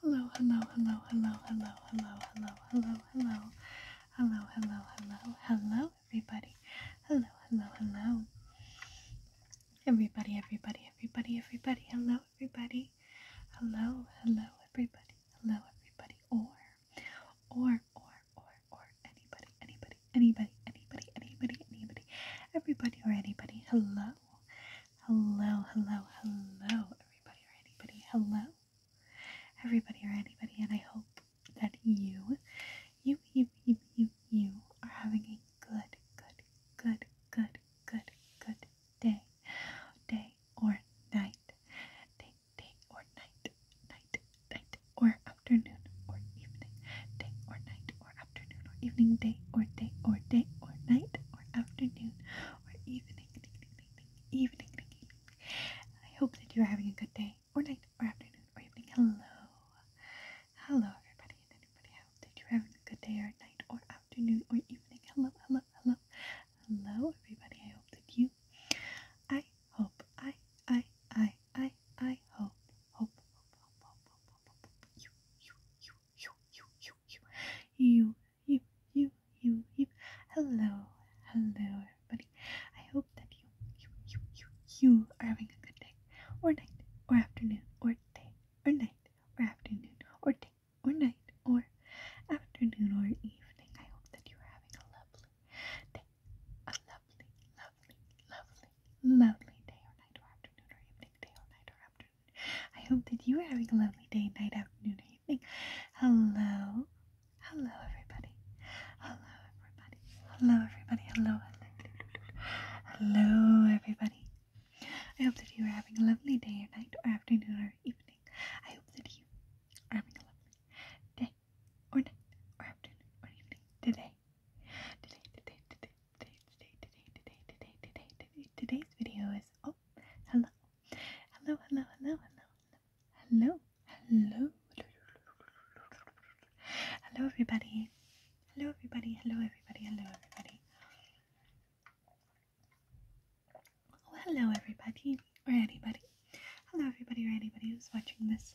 Hello, hello, hello, hello, hello, hello, hello, hello, hello, hello, hello, hello, hello, everybody. Hello, hello, hello. Everybody, everybody, everybody, everybody. Hello, everybody. Hello, hello, everybody. Hello, everybody. Or, or, or, or, or anybody, anybody, anybody, anybody, anybody, anybody, everybody or anybody. Hello, Hello, hello, hello, everybody or anybody. Hello, everybody or anybody, and I hope that you, you, you, you, you, are having a good, good, good, good, good, good day, day or night, day, day or night, night, night or afternoon or evening, day or night or afternoon or evening, day or day or day or night or afternoon or evening, evening, I hope that you are having a good day or night or afternoon or evening. Hello, hello, everybody and anybody. I hope that you're having a good day or night or afternoon or evening. Hello, hello, hello, hello, everybody. I hope that you. I hope. I. I. I. I. hope. Hope. Hope. Hope. hope, hope, hope. You. You. You you, you, you, you, you, you, you, you, you. Hello, hello, everybody. I hope that you, you, you, you, you are having a good day, or night, or afternoon, or day, or night, or afternoon, or day, or night, or afternoon, or evening. I hope that you are having a lovely day, a lovely, lovely, lovely, lovely day or night or afternoon or evening, day or night or afternoon. I hope that you are having a lovely day, night, afternoon, or evening. Hello. Hello, everybody. Hello, everybody. Hello, everybody. hello. Hello, everybody. I hope that you are having a lovely day or night or afternoon or evening. I hope that you are having a lovely day or night or afternoon or evening today. Today, today, today, Today, today, today, today, today, today, today, today's video is oh hello, hello, hello, hello, hello, hello, hello, hello, everybody, hello, everybody, hello, everybody, hello, everybody. Oh hello, everybody or anybody. Hello, everybody or anybody who's watching this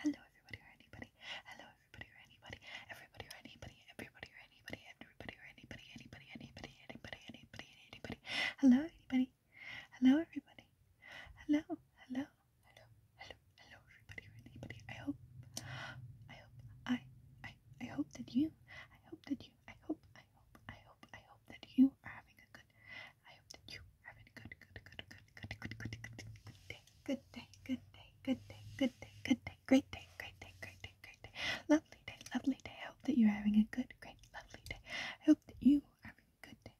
hello, hello everybody or anybody, hello everybody or anybody, everybody or anybody, everybody or anybody, everybody or anybody, anybody, anybody, anybody, anybody, anybody, hello anybody, hello everybody, hello, hello, hello, hello, hello everybody or anybody. I hope, I hope, I, I, I hope that you, I hope that you, I hope, I hope, I hope, I hope that you are having a good, I hope that you are having a good, good, good, good, good, good, good, good, good day, good day, good day, good day, good day, good day, great day, great day, great day, great day, lovely day, lovely day. I hope that you're having a good, great, lovely day. I hope that you are having a good day,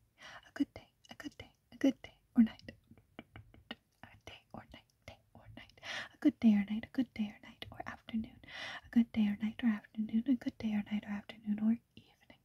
a good day, a good day, a good day or night, a day or night, day or night, a good day or night, a good day or night or afternoon, a good day or night or afternoon, a good day or night or afternoon or evening,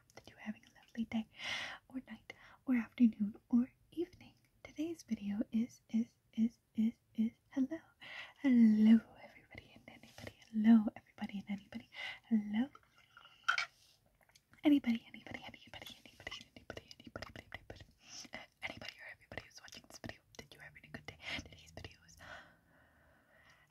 hope that you're having a lovely day or night or afternoon or evening. Today's video is, is, is, is, is, hello. Hello everybody and anybody. Hello everybody and anybody. Hello. Anybody, anybody, anybody, anybody, anybody, anybody, anybody, anybody or everybody who's watching this video. Did you have a good day? Today's video is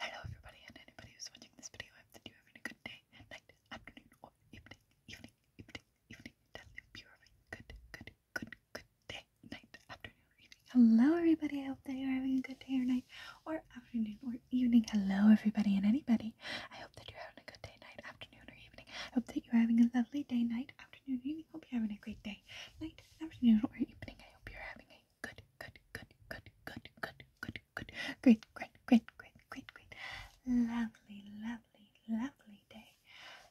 Hello everybody and anybody who's watching this video. I hope that you having a good day night, afternoon, or evening, evening, evening, evening. Tell them purely good, good, good, good day, night, afternoon, evening. Hello, everybody. I hope that you're having a good day or night, or afternoon, or evening. Hello, everybody and anybody. I hope that you're having a good day, night, afternoon, or evening. I hope that you're having a lovely day, night, afternoon, evening. Hope you're having a great day, night, afternoon, or evening. I hope you're having a good, good, good, good, good, good, good, good, good, great, great, great, great, great, great. Lovely, lovely, lovely day.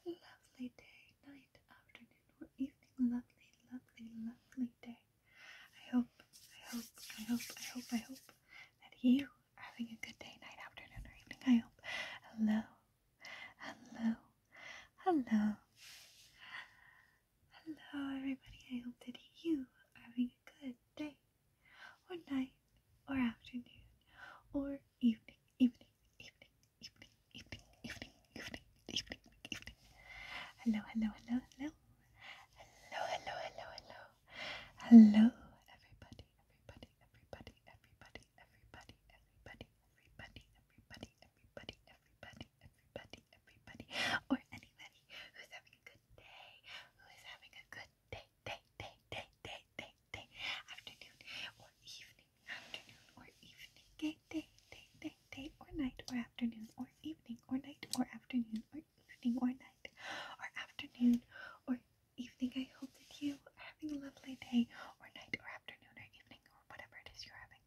Lovely day, night, afternoon, or evening. Lovely, lovely, lovely day. I hope, I hope, I hope, I hope, I hope that you are having a good day, night, afternoon, or evening. I hope. Hello, hello, hello. Hello, everybody. I hope that you are having a good day, or night, or afternoon, or evening, evening, evening, evening, evening, evening, evening, evening, evening. Hello, hello, hello, hello. Hello, hello, hello, hello. Hello, everybody, everybody, everybody, everybody, everybody, everybody, everybody, everybody, everybody, everybody, everybody everybody, everybody, or anybody who's having a good day, who is having a good day, day, day, day, day, day, day, afternoon, or evening, afternoon, or evening, day, day, day, day, or night, or afternoon, or evening, or night, or afternoon, or evening, or night, or afternoon, or evening. I hope that you are having a lovely day, or night, or afternoon, or evening, or whatever it is you're having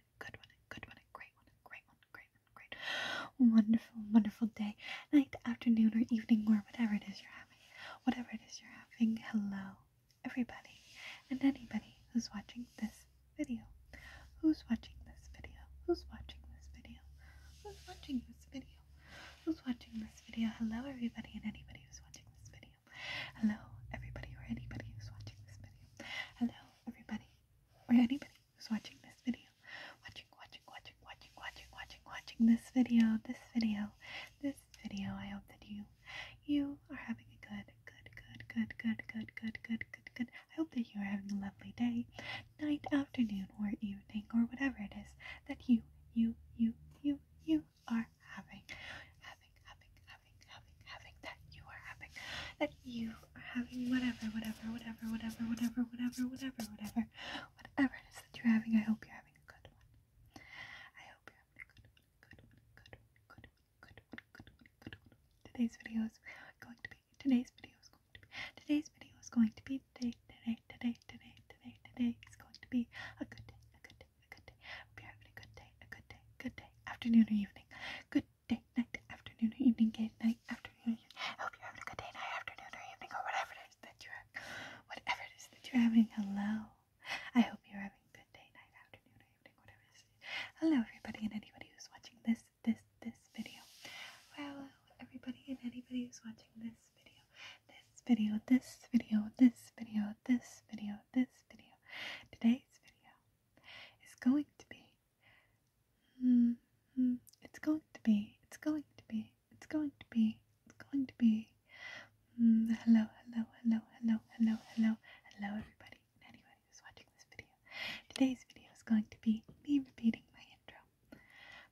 good one, good one, great one, great one, great one, great, wonderful, wonderful day, night, afternoon, or evening, or whatever it is you're having. Whatever it is you're having, hello, everybody, and anybody who's watching this video. Who's watching this video? Who's watching this video? Who's watching this video? Who's watching this video? Hello, everybody, and anybody who's watching this video video. Hello, everybody or anybody who's watching this video. Hello, everybody or anybody who's watching this video. Watching, watching, watching, watching, watching, watching, watching this video, this video, this video. I hope that you, you are having a good, good, good, good, good, good, good, good, good, good. I hope that you are having a lovely day, night, afternoon, or evening, or whatever it is that you, you, you, you, you are having, having, having, having, having, having, that you are having, that you are having, whatever, whatever, whatever, whatever, whatever, whatever, whatever, whatever, whatever it is that you're having, I hope you're having a good one. I hope you're having a good one, good one, good one, good one, good one, good one, good one. Today's video is going to be, today's video is going to be, today's video is going to be, today, today, today, today, today, today is going to be a good day, a good a good day. Hope you're having a good day, a good day, good day, afternoon or evening. Good day, night, afternoon or evening, good night, afternoon or Hope you're having a good day, night, afternoon or evening, or whatever it is that you're whatever it is that you're having. Hello. I hope you're having a good day, night, afternoon or evening, whatever it is. Hello everybody and anybody who's watching this this this video. Hello, everybody and anybody who's watching this video, this video, this video, this video, this video, this video. Today's video is going to be. Mm, it's going to be. It's going to be. It's going to be. It's going to be. Mm, hello, hello, hello, hello, hello, hello, hello, everybody, anybody who's watching this video. Today's video is going to be me repeating my intro.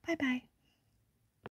Bye bye.